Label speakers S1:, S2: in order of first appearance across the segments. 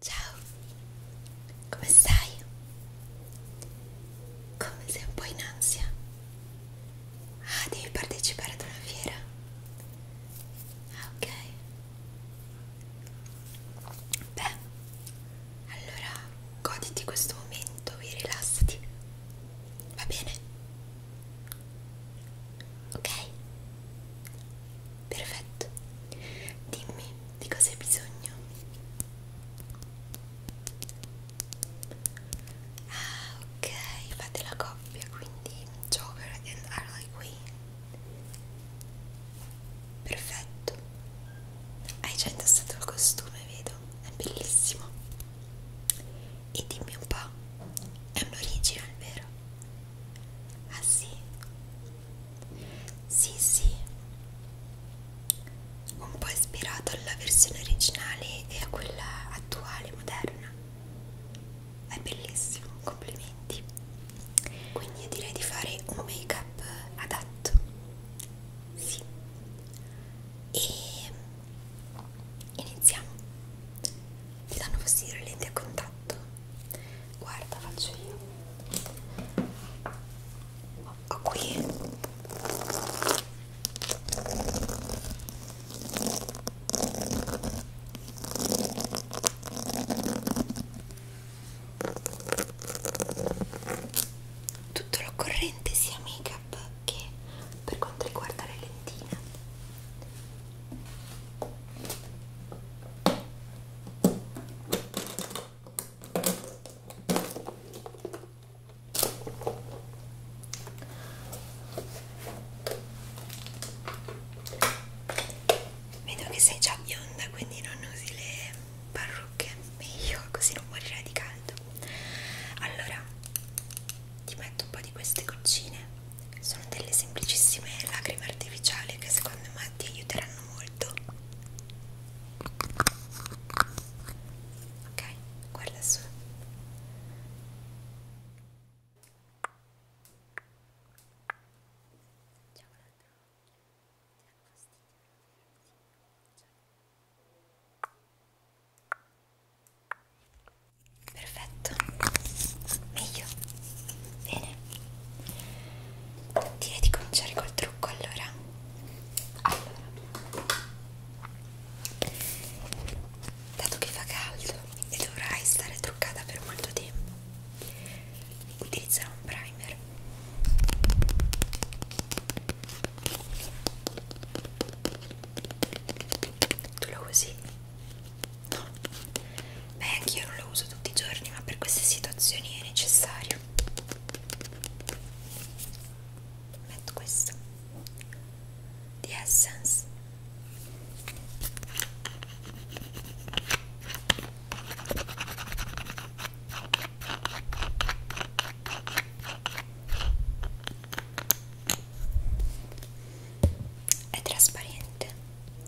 S1: Ciao, come stai? Come sei un po' in ansia? Ah, devi partecipare ad una fiera? Ah, ok. Beh, allora goditi questo momento e rilassati. Va bene? Ok? Perfetto. Dimmi di cosa hai bisogno. Ah, ok, fate la coppia, quindi Joker and Harley Quinn. Perfetto. Hai già indossato il costume, vedo. È bellissimo. E dimmi un po', è un original, vero? Ah sì? Sì, sì, un po' ispirato alla versione originale e a quella attuale, moderna. È bellissimo, complimenti. Quindi io direi di fare un make up adatto. Sì. E iniziamo. Ti danno fastidio le lenti a contatto? guarda faccio io ho qui tutto l'occorrente sia make up che per quanto riguarda le lentine Vedo che sei già bionda, quindi non usi le parrucche, meglio così non morirai di caldo. Allora, ti metto un po' di queste goccine sono delle semplicissime lacrime artificiali che secondo me ti aiuteranno molto ok guarda su Perfetto, meglio, bene, Direi di cominciare col trucco allora. Allora, dato che fa caldo e dovrai stare truccata per molto tempo, utilizzerò un primer. Tu lo usi? no beh anch'io non lo uso tutti i giorni ma per queste situazioni è necessario metto questo di Essence è trasparente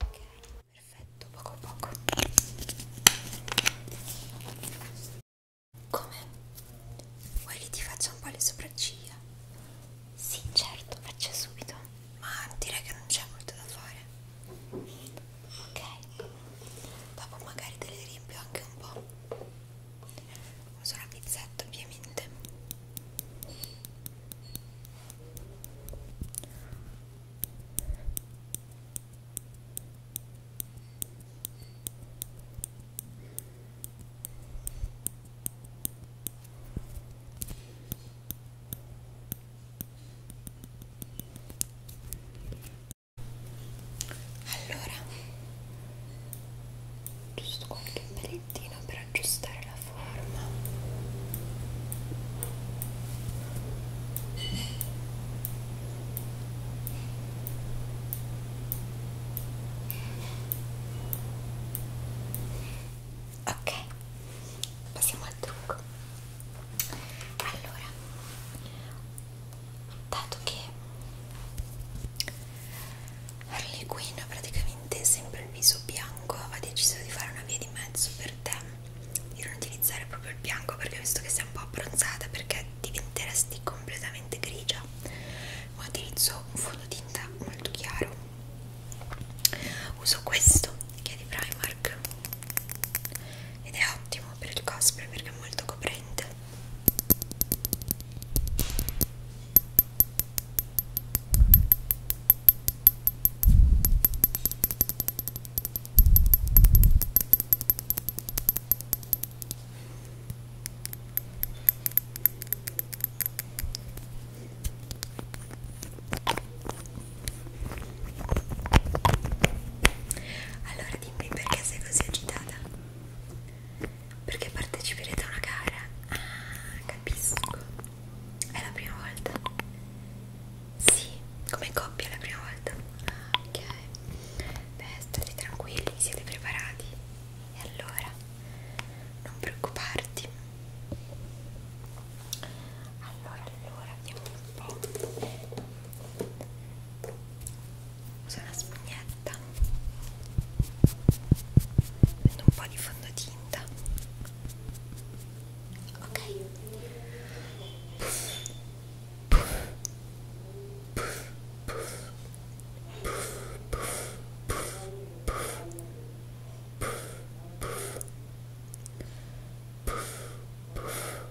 S1: Ok, perfetto, poco a poco. Come? Vuoi che ti faccia un po' le sopracciglia? Sì, certo, faccio subito. Ma direi che non c'è molto da fare ok dopo magari te le riempio anche un po' uso la pizzetta ovviamente allora giusto qualche pelettino per aggiustare la forma ok passiamo al trucco allora dato che Harley Quinn ha praticamente sempre il viso bianco ha deciso di fare una via di mezzo per te di non utilizzare proprio il bianco perché visto che sei un po' abbronzata perché diventeresti completamente grigia ma utilizzo un fondotinta molto chiaro uso questo che è di Primark ed è ottimo per il cosplay perché è molto coprente allora allora dimmi perché sei così agitata? Perché parteciperete a una gara? Ah, capisco. È la prima volta? Sì, come coppia è la prima volta. Ah, ok. Beh, state tranquilli, siete preparati. E allora, non preoccuparti. Allora, allora, vediamo un po' uso una spugnetta prendo un po' di fondotinta ok puff, puff, puff, puff, puff, puff, puff, puff, puff, puff. Puff, puff,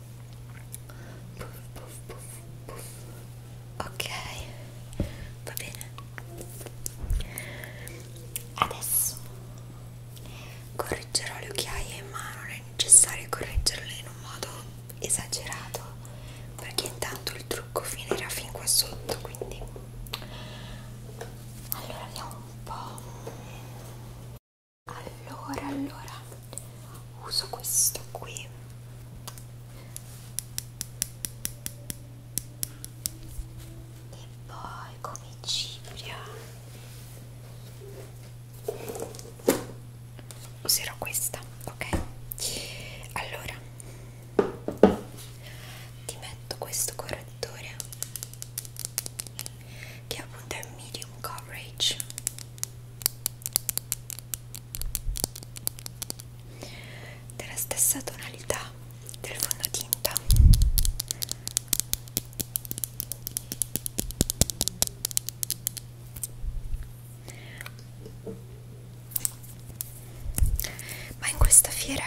S1: puff, puff, puff, puff. ok va bene adesso correggerò le occhiaie ma non è necessario correggerle in un modo esagerato perché intanto il trucco finirà fin qua sotto quindi allora andiamo un po' allora allora uso questo qui e poi come cipria userò questa ok allora ti metto questo correttore che appunto è medium coverage della stessa tonalità del fondotinta ma in questa fiera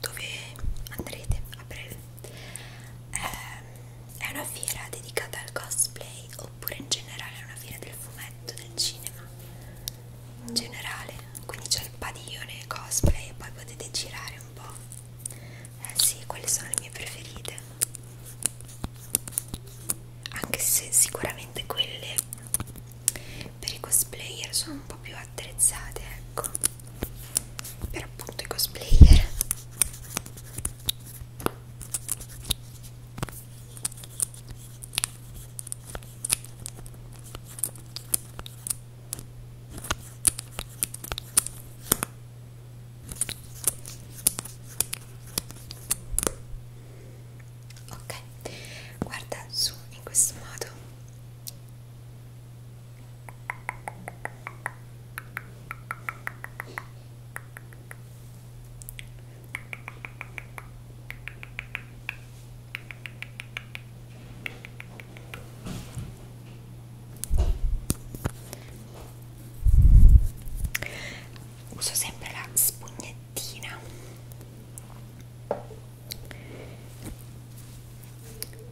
S1: dove andrete a breve ehm, è una fiera dedicata al cosplay oppure in generale è una fiera del fumetto, del cinema? In generale, quindi c'è il padiglione cosplay e poi potete girare un po'. Eh sì, quelle sono le mie preferite. Anche se sicuramente quelle per i cosplayer sono un po' più attrezzate, ecco per appunto i cosplayer ok guarda su in questo modo Uso sempre la spugnettina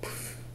S1: Puff.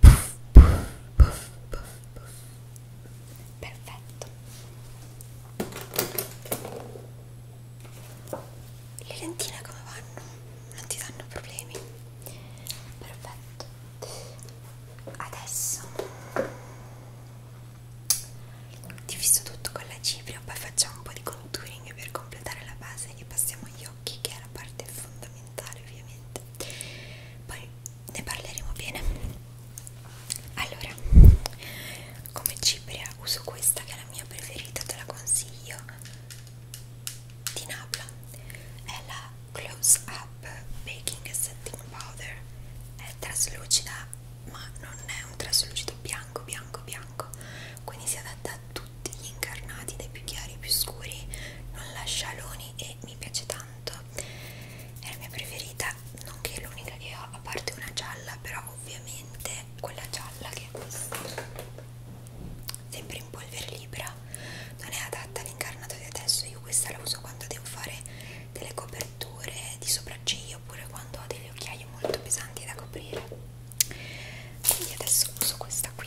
S1: puff, puff, puff, puff, puff. perfetto le lentine come vanno? non ti danno problemi? perfetto adesso diviso tutto con la cipria poi facciamo un po' di contouring per completare la base e passiamo agli occhi che è la parte fondamentale ovviamente poi ne parleremo bene allora come cipria uso questa che è la mia preferita te la consiglio di Napla è la Close Up Baking Setting Powder è traslucida ma non è un traslucido bianco bianco bianco quindi si adatta a tutti gli incarnati dai più chiari ai più scuri non lascia aloni e che mi piace tanto è la mia preferita nonché è l'unica che ho a parte una gialla però ovviamente quella gialla che è questa sempre in polvere libera non è adatta all'incarnato di adesso io questa la uso quando devo fare delle coperture di sopracciglia oppure quando ho degli occhiaie molto pesanti da coprire quindi adesso uso questa qui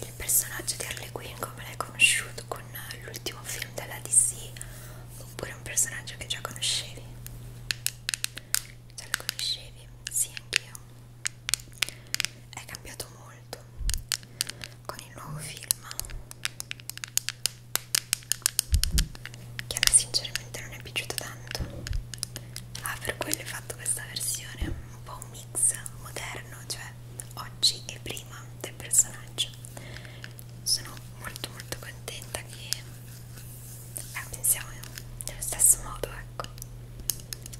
S1: il personaggio di Harley Quinn come l'hai conosciuto con l'ultimo film della DC oppure un personaggio che già conoscevi? Già lo conoscevi? Sì, anch'io. È cambiato molto con il nuovo film che a me sinceramente non è piaciuto tanto ah per quello ho fatto questa versione un po' un mix moderno cioè oggi e prima del personaggio sono molto molto contenta che eh, pensiamo nello stesso modo ecco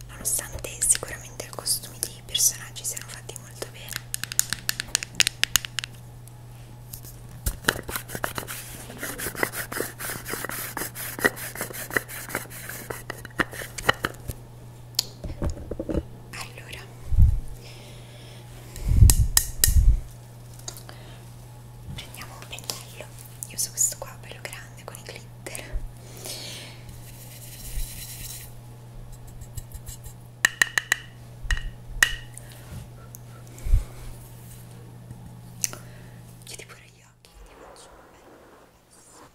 S1: nonostante sicuramente i costumi dei personaggi siano fatti molto bene allora prendiamo un pennello io uso questo qua bello grande con i glitter chiudi pure gli occhi ti faccio un bel pezzo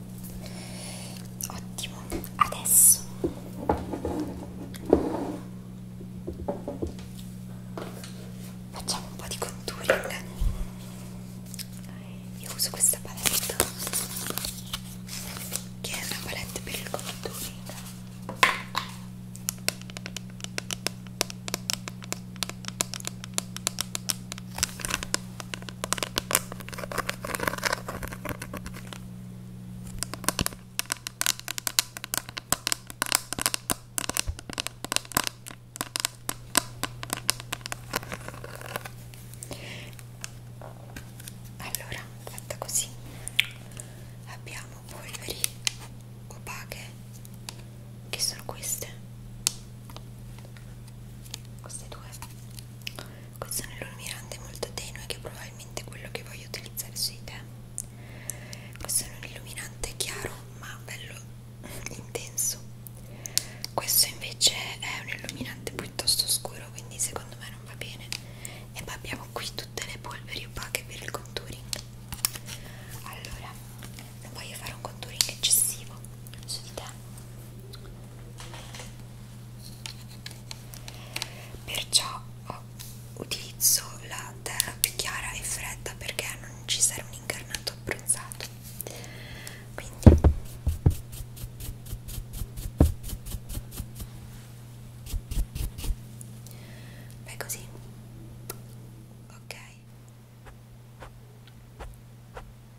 S1: Ottimo, adesso facciamo un po' di contouring. Io uso questa palette che è una palette per il contouring. Allora, fatta così, abbiamo polveri opache che sono queste, queste due questo nell'illuminante è molto tenue che è probabilmente quello che voglio utilizzare sui te questo è un illuminante chiaro ma bello intenso questo invece è un illuminante piuttosto scuro quindi secondo me non va bene e poi abbiamo qui tutte le polveri opache per il contouring allora non voglio fare un contouring eccessivo su di te perciò ho, oh, utilizzo la terra più chiara e fredda perché non ci serve un incarnato abbronzato quindi Beh così ok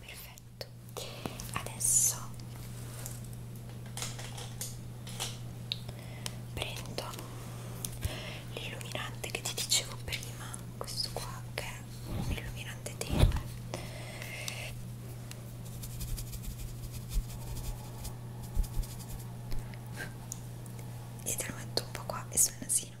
S1: perfetto adesso prendo l'illuminante che ti dicevo prima questo qua che è un illuminante tenue e te lo metto un po' qua e sul nasino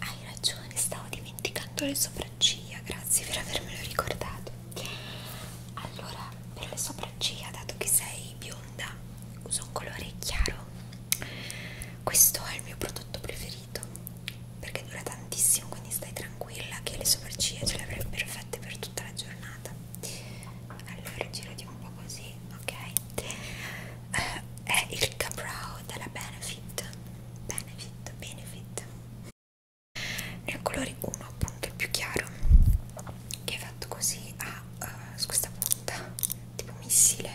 S1: Hai ragione, stavo dimenticando le sopracciglia, grazie per avermelo ricordato. Allora, per le sopracciglia, dato che sei bionda, uso un colore chiaro. Questo è il mio prodotto preferito, perché dura tantissimo, quindi stai tranquilla che le sopracciglia ce le avrebbero fatte per tutta la giornata. Allora, giro di un po' così ok eh, è il Cabrow della Benefit Benefit Benefit nel colore 1 appunto il più chiaro che è fatto così ha uh, eh, su questa punta tipo missile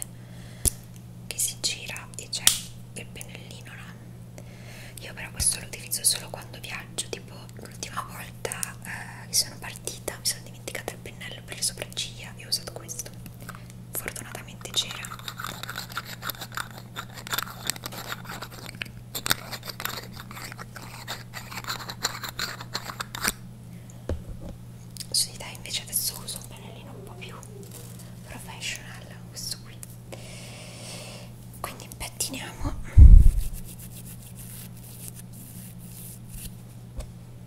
S1: che si gira e c'è il pennellino no? io però questo lo utilizzo solo quando viaggio tipo l'ultima volta uh, che sono partita mi sono dimenticato il pennello per le sopracciglia e ho usato questo. Fortunatamente c'era. Sì, dai, invece adesso uso un pennellino un po' più professional, questo qui. Quindi impettiniamo.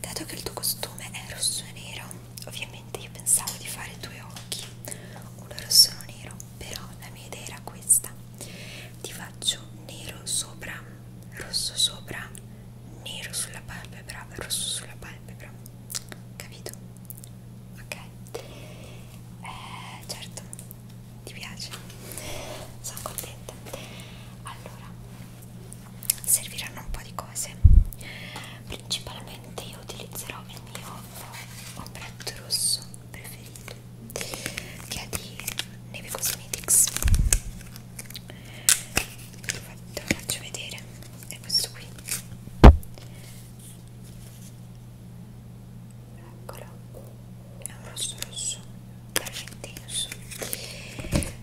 S1: Dato che il tuo costume è rosso e nero, ovviamente io pensavo di fare due occhi, uno rosso e uno nero, però la mia idea era questa. Ti faccio nero sopra, rosso sopra, nero sulla palpebra, rosso sulla palpebra. Capito? Ok. Eh, certo, ti piace? Sono contenta. Allora, serviranno un po' di cose principalmente io utilizzerò il mio ombretto rosso preferito che è di Neve Cosmetics ve lo, faccio, ve lo faccio vedere è questo qui eccolo è un rosso rosso veramente intenso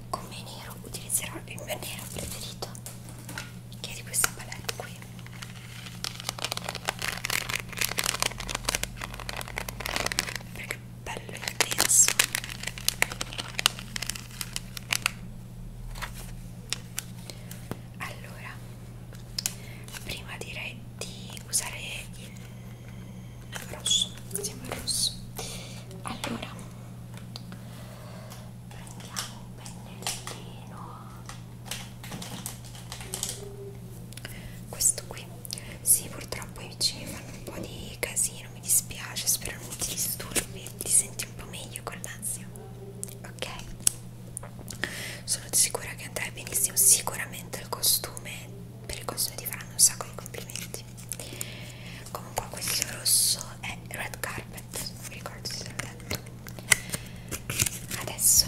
S1: come nero utilizzerò il mio nero preferito che è di questa palette qui perché è bello intenso allora prima direi di usare il al rosso siamo al rosso allora prendiamo un pennellino questo qui sì purtroppo i vicini fanno un po' di casino mi dispiace spero non ti disturbi ti senti un po' meglio con l'ansia ok sono sicura che andrai benissimo sicuramente il costume per il costume ti faranno un sacco di complimenti infatti comunque questo rosso è red carpet non mi ricordo se l'ho detto adesso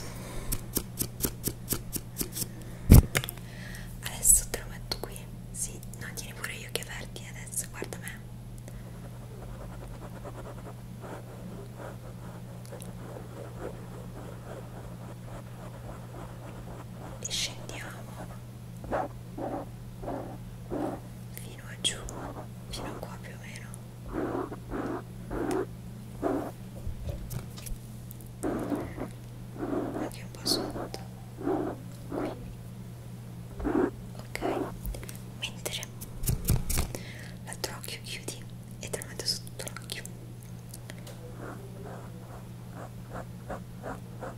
S1: adesso te lo metto qui sì no tieni pure gli occhi aperti adesso guarda me e scendiamo fino a giù fino a qua più o meno anche un po' sotto qui ok mentre l'altro occhio chiudi e te lo metto sotto l'occhio ecco qua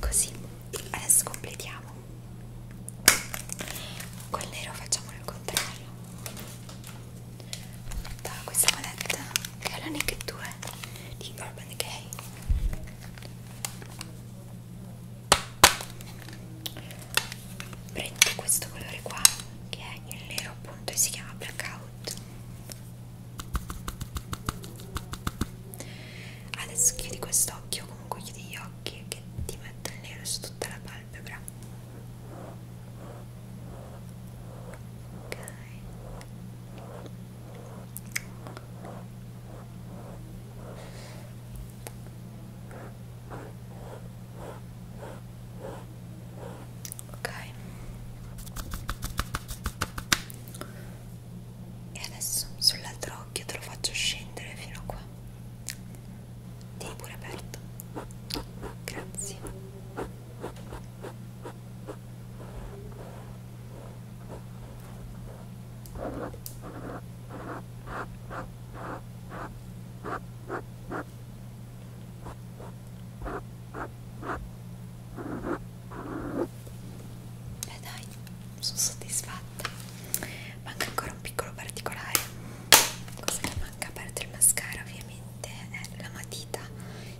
S1: così adesso completiamo col nero facciamolo il contrario da questa manetta che è la Naked 2 di Urban Decay prendo questo colore qua che è il nero appunto e si chiama blackout adesso chiudi quest'occhio comunque chiudi gli occhi che ti metto il nero su tutta la palpebra ok ok e adesso sull'altro occhio te lo faccio scendere fino a qua tieni pure aperto grazie e eh, dai, sono soddisfatta. Manca ancora un piccolo particolare. Cosa che manca a parte il mascara ovviamente è la matita.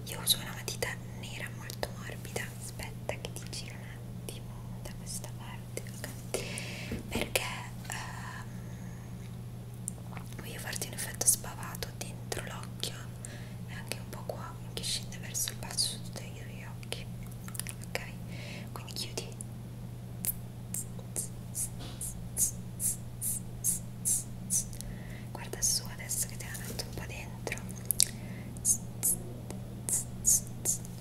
S1: Io uso una matita nera molto morbida. Aspetta che ti giro un attimo da questa parte parti, ok? Perché ehm, voglio farti un effetto spavato dentro l'occhio e anche un po' qua che scende verso il basso su tutti gli occhi, ok? Quindi chiudi. Guarda su adesso che ti hanno detto un po' dentro.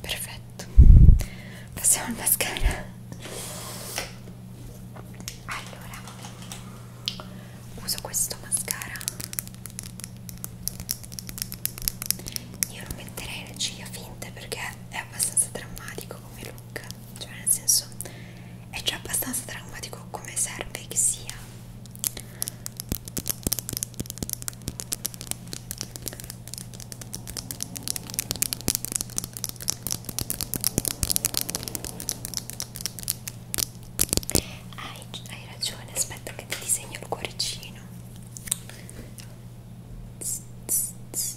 S1: Perfetto, passiamo al mascara. Allora, uso questo mascara. Io non metterei le ciglia finte perché è abbastanza drammatico come look cioè nel senso è già abbastanza traumatico come serve che sia hai, hai ragione aspetta che ti disegno il cuoricino tss, tss, tss.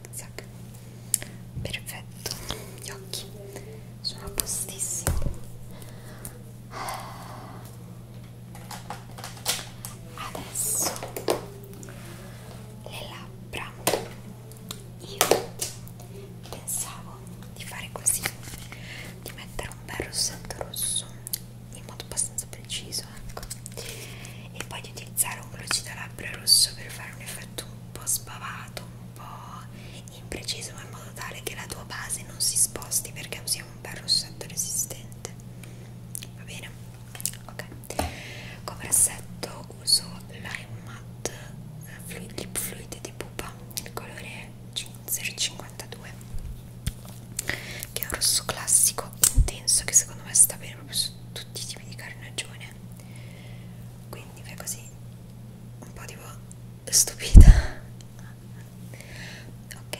S1: Zig zag. Perfetto, gli occhi sono a postissimo. Adesso le labbra. Io pensavo di fare così, di mettere un bel rossetto rosso in modo abbastanza preciso, ecco. E poi di utilizzare un lucido labbra rosso per fare un effetto un po' sbavato un po' impreciso in modo tale che la tua base non si sposti perché usiamo un bel rossetto resistente va bene? ok come rossetto uso Lime Matte eh, Fluid Lip Fluid di Pupa il colore 052 che è un rosso classico intenso che secondo me sta bene proprio su tutti i tipi di carnagione qui quindi fai così un po' tipo stupita ok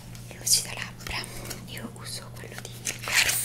S1: le luci da labbra io uso quello di Perf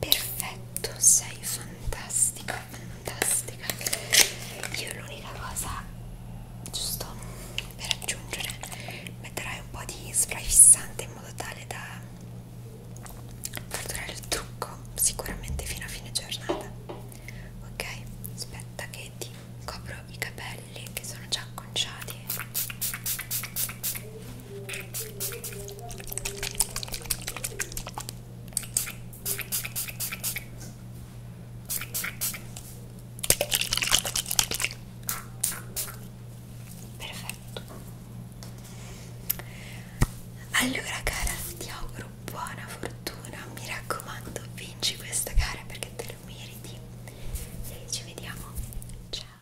S1: Perfetto, sei fantastica, fantastica. Io l'unica cosa, giusto per aggiungere, metterai un po' di spray fissante in modo tale da far durare il trucco sicuramente fino a fine giornata. Ok? Aspetta che ti copro i capelli che sono già acconciati. Perfetto. Allora cara, ti auguro buona fortuna. Mi raccomando, vinci questa gara perché te lo meriti. E ci vediamo. Ciao.